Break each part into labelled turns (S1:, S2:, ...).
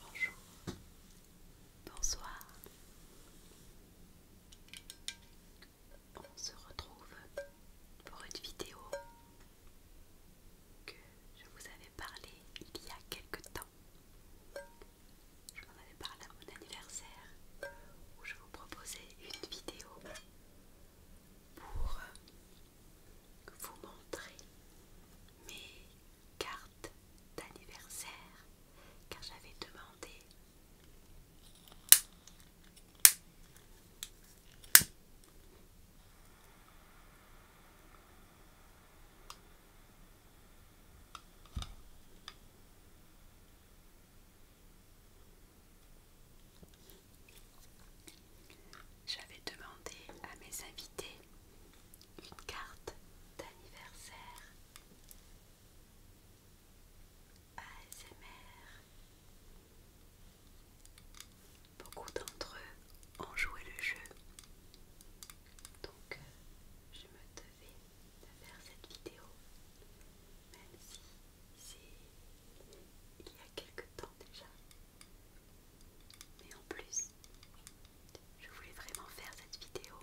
S1: Bonjour, bonsoir. On se retrouve pour une vidéo que je vous avais parlé il y a quelque temps. Je vous en avais parlé à mon anniversaire où je vous proposais une vidéo pour vous montrez mes cartes d'anniversaire car j'avais demandé j'avais demandé à mes invités une carte d'anniversaire ASMR. Beaucoup d'entre eux ont joué le jeu. Donc euh, je me devais de faire cette vidéo. Même si c'est il y a quelque temps déjà. Mais en plus, je voulais vraiment faire cette vidéo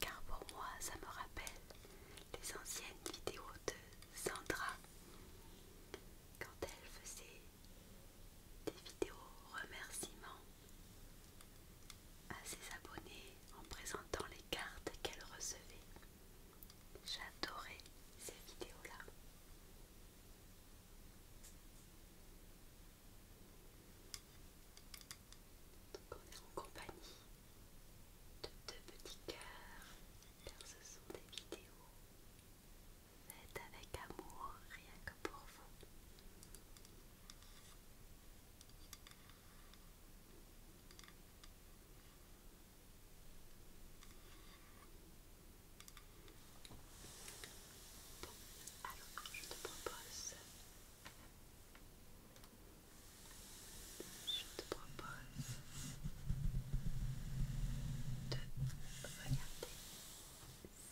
S1: car pour moi ça me rappelle les anciennes vidéos de Sandra quand elle faisait des vidéos remerciements à ses abonnés en présentant les cartes qu'elle recevait. J'adorais ces vidéos-là on est en compagnie de deux petits cœurs car ce sont des vidéos faites avec amour rien que pour vous alors je te propose, je te propose de regarder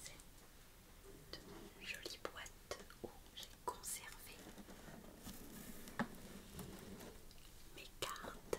S1: cette jolie boîte où j'ai conservé mes cartes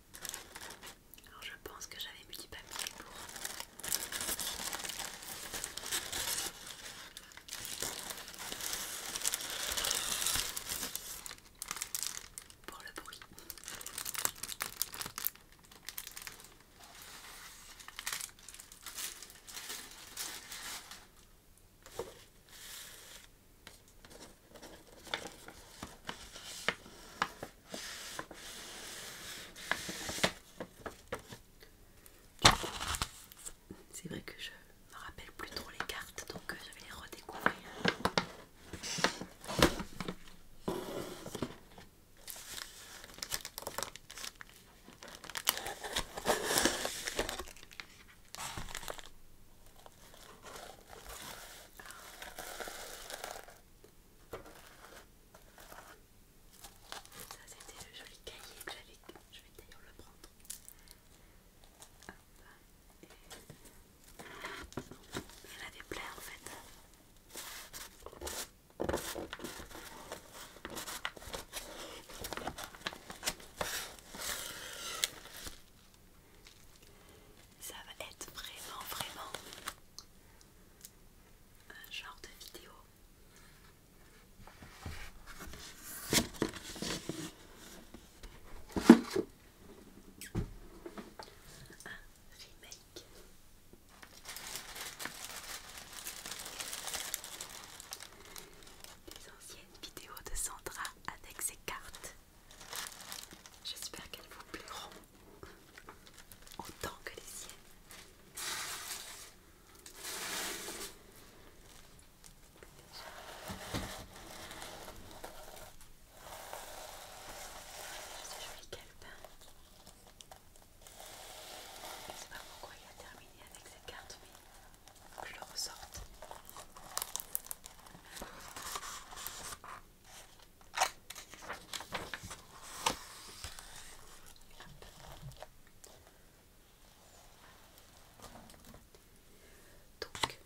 S1: Alors je pense que j'avais mis du papier pour... pour le bruit. C'est vrai que je me rappelle plus trop les cartes, donc euh, je vais les redécouvrir. Ça c'était le joli cahier que j'avais. Je vais d'ailleurs le prendre. Il avait en fait ça va être vraiment, vraiment un genre de vidéo un remake des anciennes vidéos de Sandra avec ses cartes J'espère qu'elles vous plairont autant que les siennes. C'est joli calepin. Je ne sais pas pourquoi il a terminé avec cette carte, mais je le ressorte. Donc,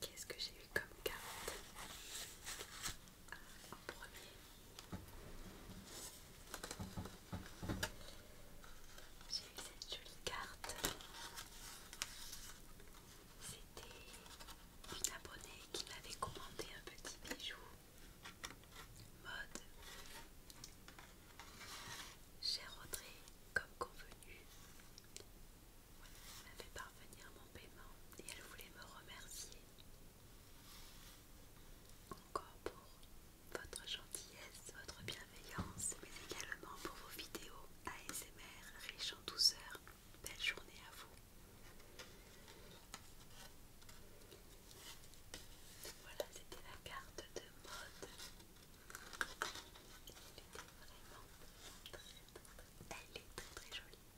S1: qu'est-ce que j'ai eu comme carte en premier j'ai eu cette jolie carte c'était une abonnée qui m'avait commandé un petit bijou mode. Cher Audrey, comme convenu, elle m'a fait parvenir mon paiement et elle voulait me remercier encore pour votre gentillesse, votre bienveillance, mais également pour vos vidéos ASMR riches en douceur. Belle journée à vous. Voilà, c'était la carte de mode. Elle était vraiment très, très, très, jolie.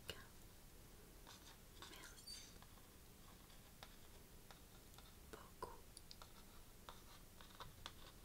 S1: Avec un Merci beaucoup.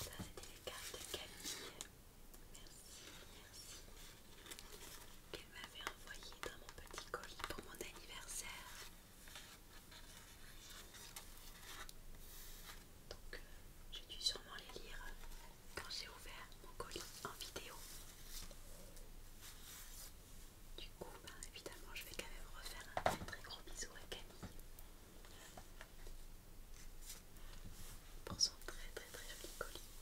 S1: Ça c'était les cartes de Camille. Merci, merci. Qu'elle m'avait envoyé dans mon petit colis pour mon anniversaire. Donc euh, j'ai dû sûrement les lire quand j'ai ouvert mon colis en vidéo. Du coup, bah, évidemment, je vais quand même refaire un très très gros bisou à Camille pour son très très très joli colis.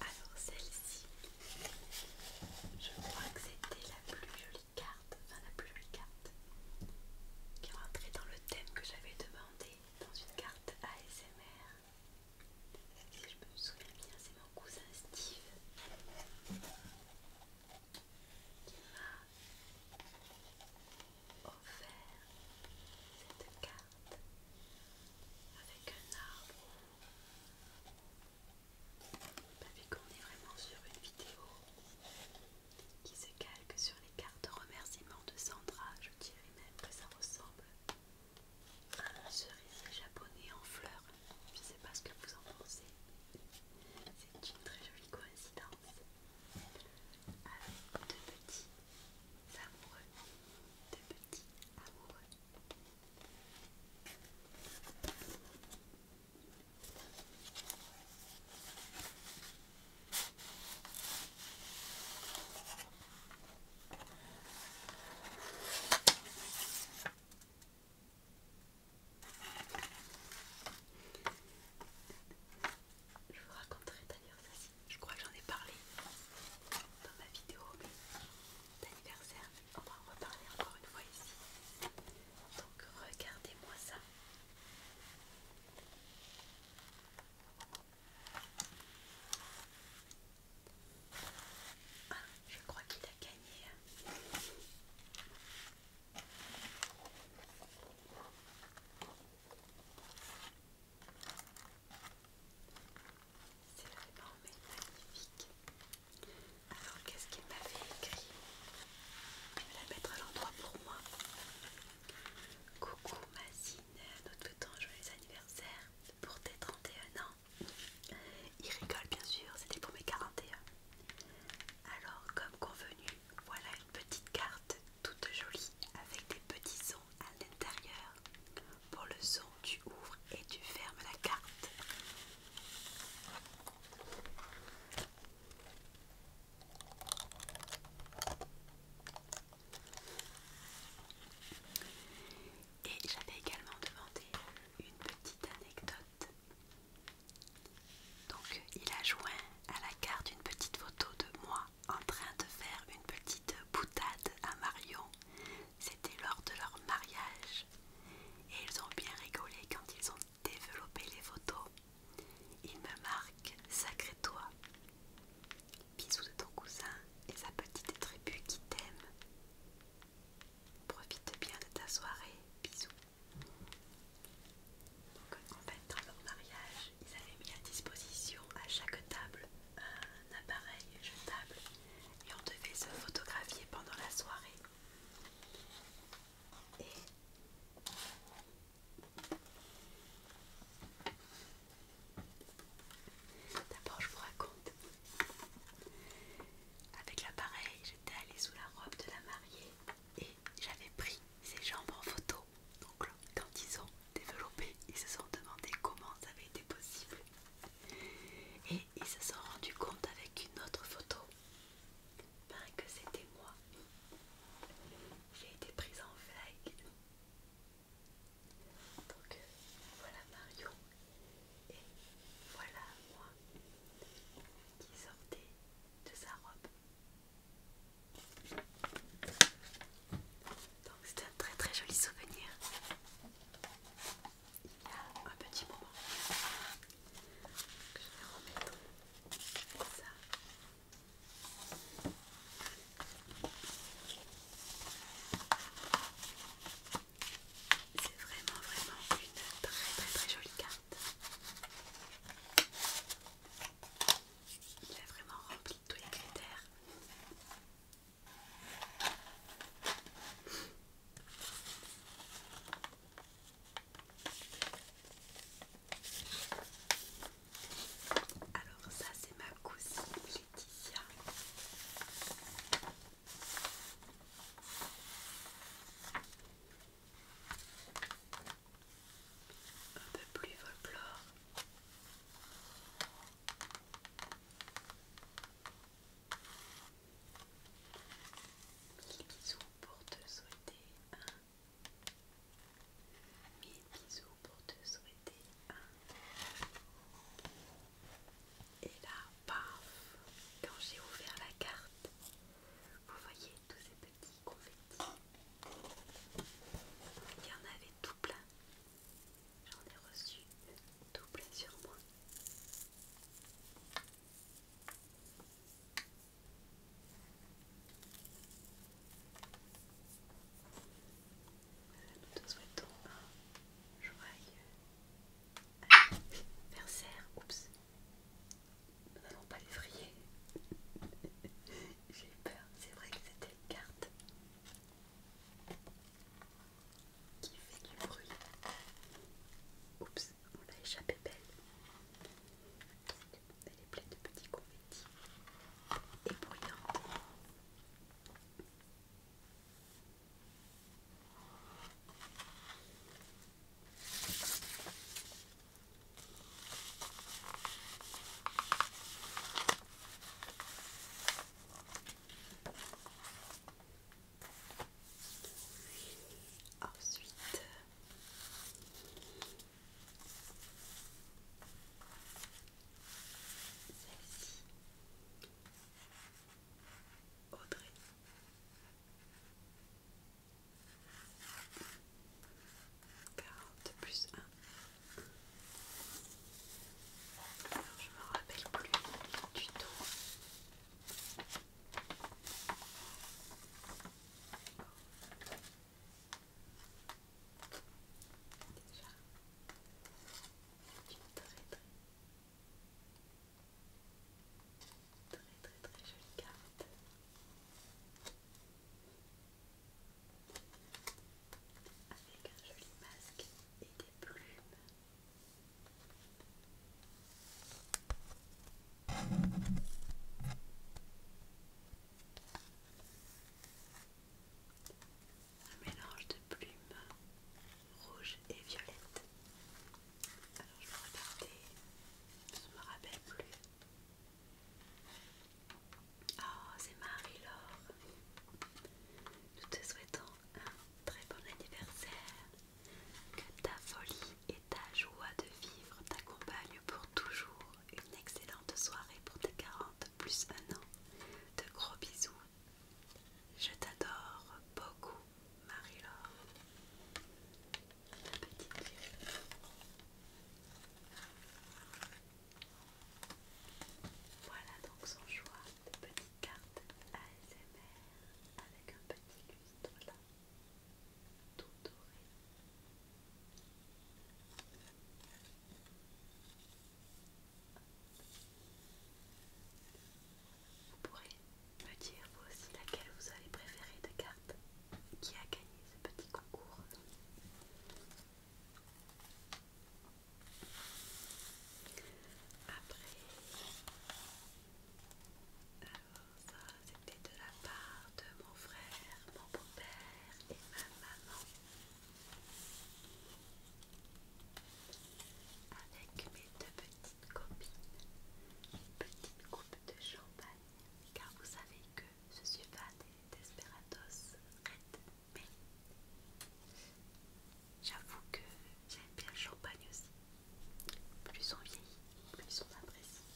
S1: Alors celle-ci, je crois que c'était la plus jolie carte, enfin la plus jolie carte qui rentrait dans le thème que j'avais demandé dans une carte ASMR. Si je me souviens bien, c'est mon cousin Steve qui m'a offert cette carte avec un arbre. vu qu'on est vraiment sur une vidéo qui se calque sur les cartes de remerciement de Sandra, je dirais même que ça ressemble à un cerisier japonais en fleurs. Je ne sais pas ce que vous en pensez. C'est une très jolie coïncidence avec deux petits amoureux. Deux petits amoureux. Je vous raconterai d'ailleurs ça. Je crois que j'en ai parlé dans ma vidéo d'anniversaire. On va en reparler encore une fois ici. Donc regardez-moi ça. Ah. Je crois qu'il a gagné. C'est vraiment magnifique. Alors qu'est-ce qu'il m'avait écrit Je vais la mettre à l'endroit pour moi. Coucou Mazine, nous te joyeux anniversaire pour tes 31 ans. Il rigole bien sûr, c'était pour mes 41. Alors comme convenu, voilà une petite carte toute jolie avec des petits sons à l'intérieur. Pour le son, tu ouvres et tu fermes la carte. Et j'avais également demandé une petite anecdote donc il a joint à la carte une petite photo de moi en train de faire une petite boutade à Marion. C'était lors de leur mariage. Et ils ont bien rigolé quand ils ont développé les photos. Il me marque Sacré toi. Bisous de ton cousin et sa petite tribu qui t'aime. Profite bien de ta soirée. Bisous. Donc, en fait, dans leur mariage, ils avaient mis à disposition à chaque table un appareil jetable et on devait se photographier pendant la soirée. Et d'abord, je vous raconte avec l'appareil, j'étais allée sous la robe de la mariée et j'avais pris ses jambes en photo. Donc quand ils ont développé, ils se sont demandé comment ça avait été possible. Et ils se sont rendu compte avec une autre photo ben, que c'était moi. J'ai été prise en flag. Donc euh, voilà Mario. Et voilà moi qui sortais de sa robe. Donc c'est un très très joli souvenir. Il y a un petit moment que je vais remettre ça. C'est vraiment vraiment une très très très jolie carte. Il a vraiment rempli tous les critères. Alors ça c'est ma cousine Laetitia. Un peu plus folklore. Mille bisous pour te souhaiter un. Mille bisous pour te souhaiter un. Et là, paf, quand j'ai ouvert la carte, vous voyez tous ces petits confettis. Il y en avait tout plein. J'en ai reçu tout plein sur moi. Nous te souhaitons un joyeux anniversaire. Oups. Nous n'allons pas les frayer. J'ai eu peur, c'est vrai que c'était une carte qui fait du bruit. Oups, on l'a échappé belle. Elle est pleine de petits confettis et bruyant. Ensuite, celle plus 1. je me rappelle plus du tout. Déjà, Très très très jolie carte. Avec un joli masque et des plumes. Un mélange de plumes rouge et violette. Alors je vais regarder, je me rappelle plus. Oh, c'est Marie-Laure. Nous te souhaitons un très bon anniversaire. Que ta folie et ta joie de vivre t'accompagnent pour toujours. Une excellente soirée pour tes 40 plus un an. De gros bisous. Je t'adore beaucoup. Marie-Laure, la petite fille Voilà donc son choix de petites cartes ASMR avec un petit lustre là, tout doré. Vous pourrez me dire vous aussi laquelle vous allez préférer de cartes qui a gagné ce petit concours. Après, alors ça c'était de la part de mon frère, mon beau-père et ma maman. Avec mes deux petits petite copine, petite coupe de champagne, car vous savez que je suis pas des desperados Red mais j'avoue que j'aime bien le champagne aussi. Plus on vieillit, plus on apprécie.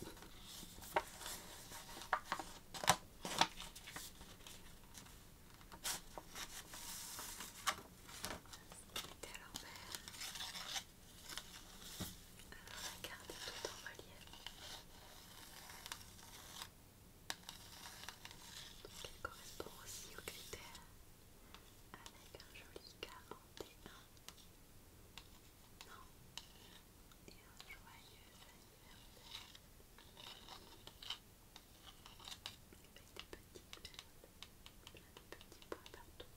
S1: C'était à l'envers. Regardez tout en relief. Donc il correspond aussi aux critères avec un joli 41. Non. Et un joyeux anniversaire. Avec des petits points partout.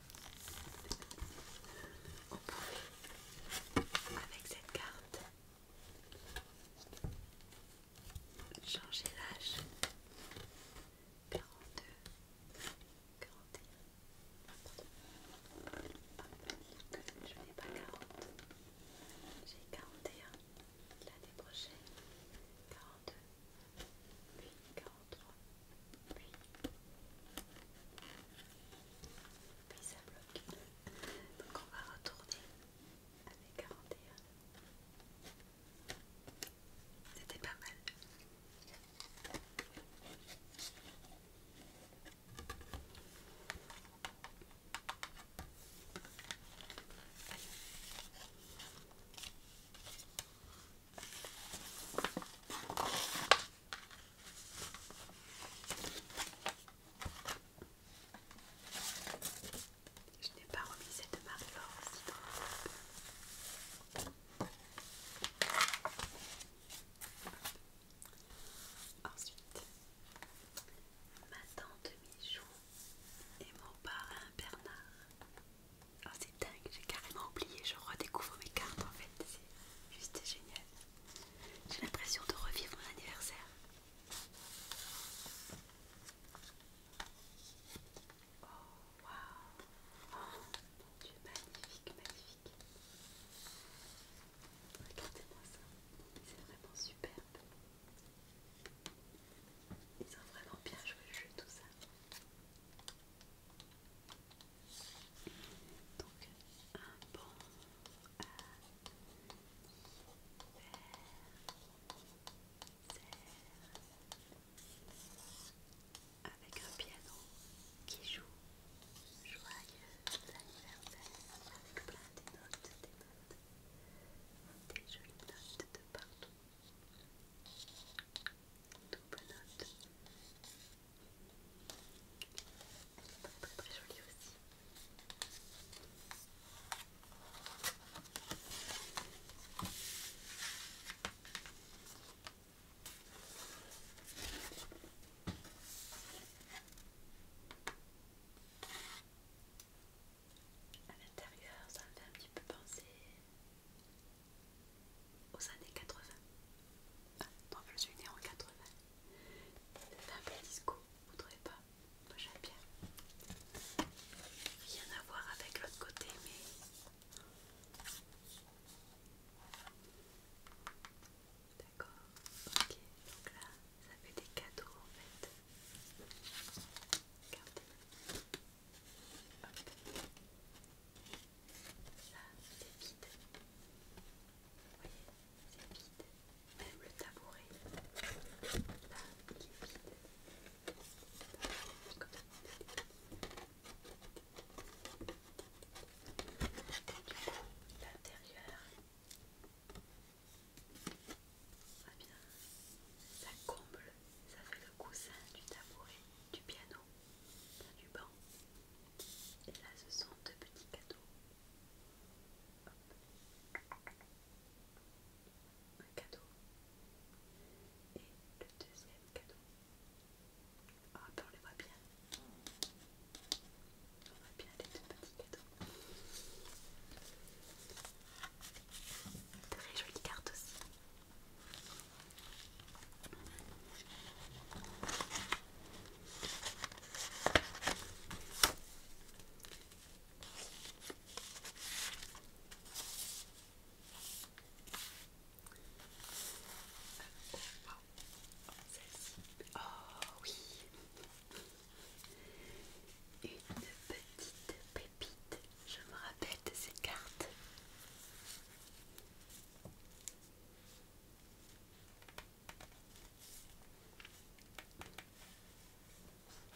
S1: On pouvait, avec cette carte, changer l'âge 42, 41. Pardon. Je n'ai pas 40, j'ai 41 l'année prochaine, 42, Oui, donc on va retourner à 41. C'était pas mal. Allez. Je n'ai pas remis cette marque aussi Ensuite, ma tante Michou et mon parrain Bernard. Oh, c'est dingue, j'ai carrément oublié, je redécouvre mes cartes en fait, c'est juste génial. J'ai l'impression de revivre mon anniversaire. Oh waouh! Oh, mon dieu, magnifique, magnifique! Regardez-moi ça, c'est vraiment superbe. Ils ont vraiment bien joué le jeu, tout ça. Donc un bon avec un piano qui joue joyeux anniversaire avec plein de notes, des notes, des jolies notes de partout. Double notes. Elle est très très très jolie aussi. À l'intérieur, ça me fait un petit peu penser aux années 80. Ah, non, je suis née en 80. C'est un disco, vous trouvez pas Moi j'aime bien. Rien à voir avec l'autre côté, mais. D'accord, ok. Donc là, ça fait des cadeaux en fait. Regardez. Ça, c'est vide. Vous voyez, c'est vide. Même le tabouret, là, il est vide. Comme ça. Du coup, l'intérieur, ça bien, ça comble, ça fait le coussin du tabouret, du piano du banc. Et là, ce sont deux petits cadeaux. Un cadeau. Et le deuxième cadeau. Ah, ben, on les voit bien. On voit bien les deux petits cadeaux. Très jolie cartes aussi. Oh, oui. Une petite pépite. Je me rappelle de cette carte.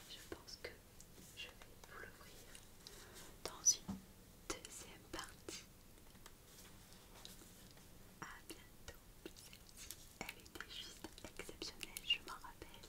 S1: Je pense que je vais vous l'ouvrir dans une deuxième partie. A bientôt. Elle était juste exceptionnelle, je m'en rappelle.